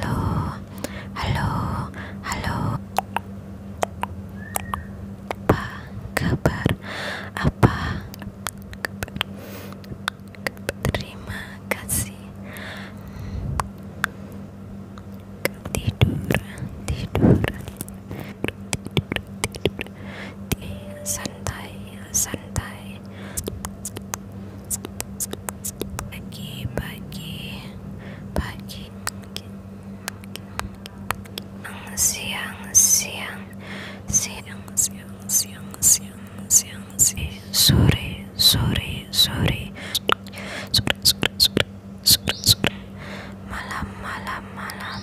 Halo, halo, halo. Apa kabar? Apa? Terima kasih. Tidur, tidur santai santai pagi pagi pagi siang siang siang siang siang siang siang siang eh, sore sore sore sore sore sore sore malam malam malam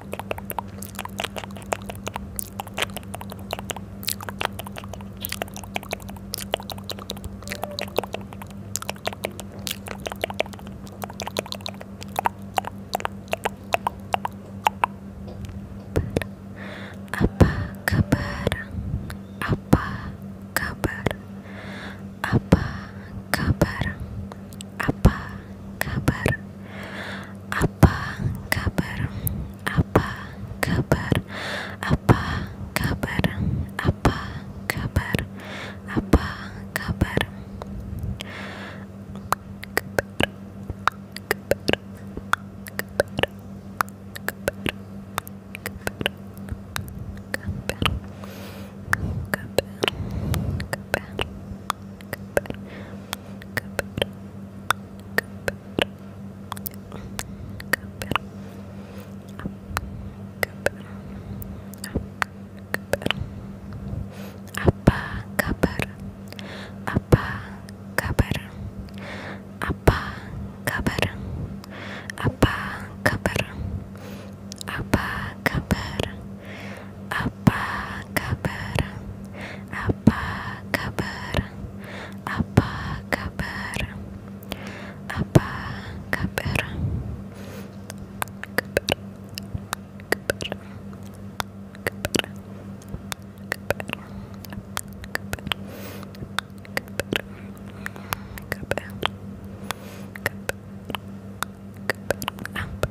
Apa kabar? Apa kabar? Apa kabar? apa kabar apa kabar apa kabar apa kabar apa kabar apa kabar apa kabar apa kabar apa kabar apa kabar apa kabar? Apa kabar? Apa kabar? Apa kabar? Apa kabar?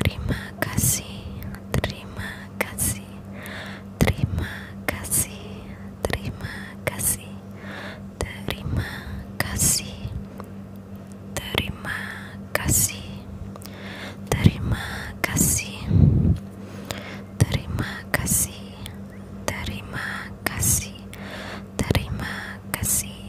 Terima kasih, terima kasih, terima kasih, terima kasih, terima kasih, terima kasih, terima kasih, terima kasih, terima kasih, terima kasih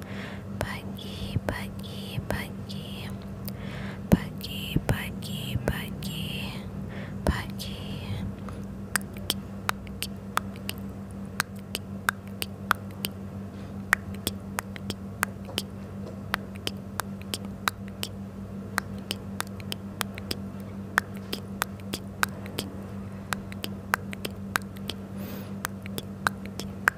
Buggy, buggy, buggy. Buggy, buggy, buggy. Buggy. Buggy,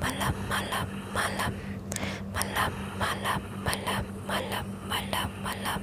malam malam malam malam malam malam malam malam malam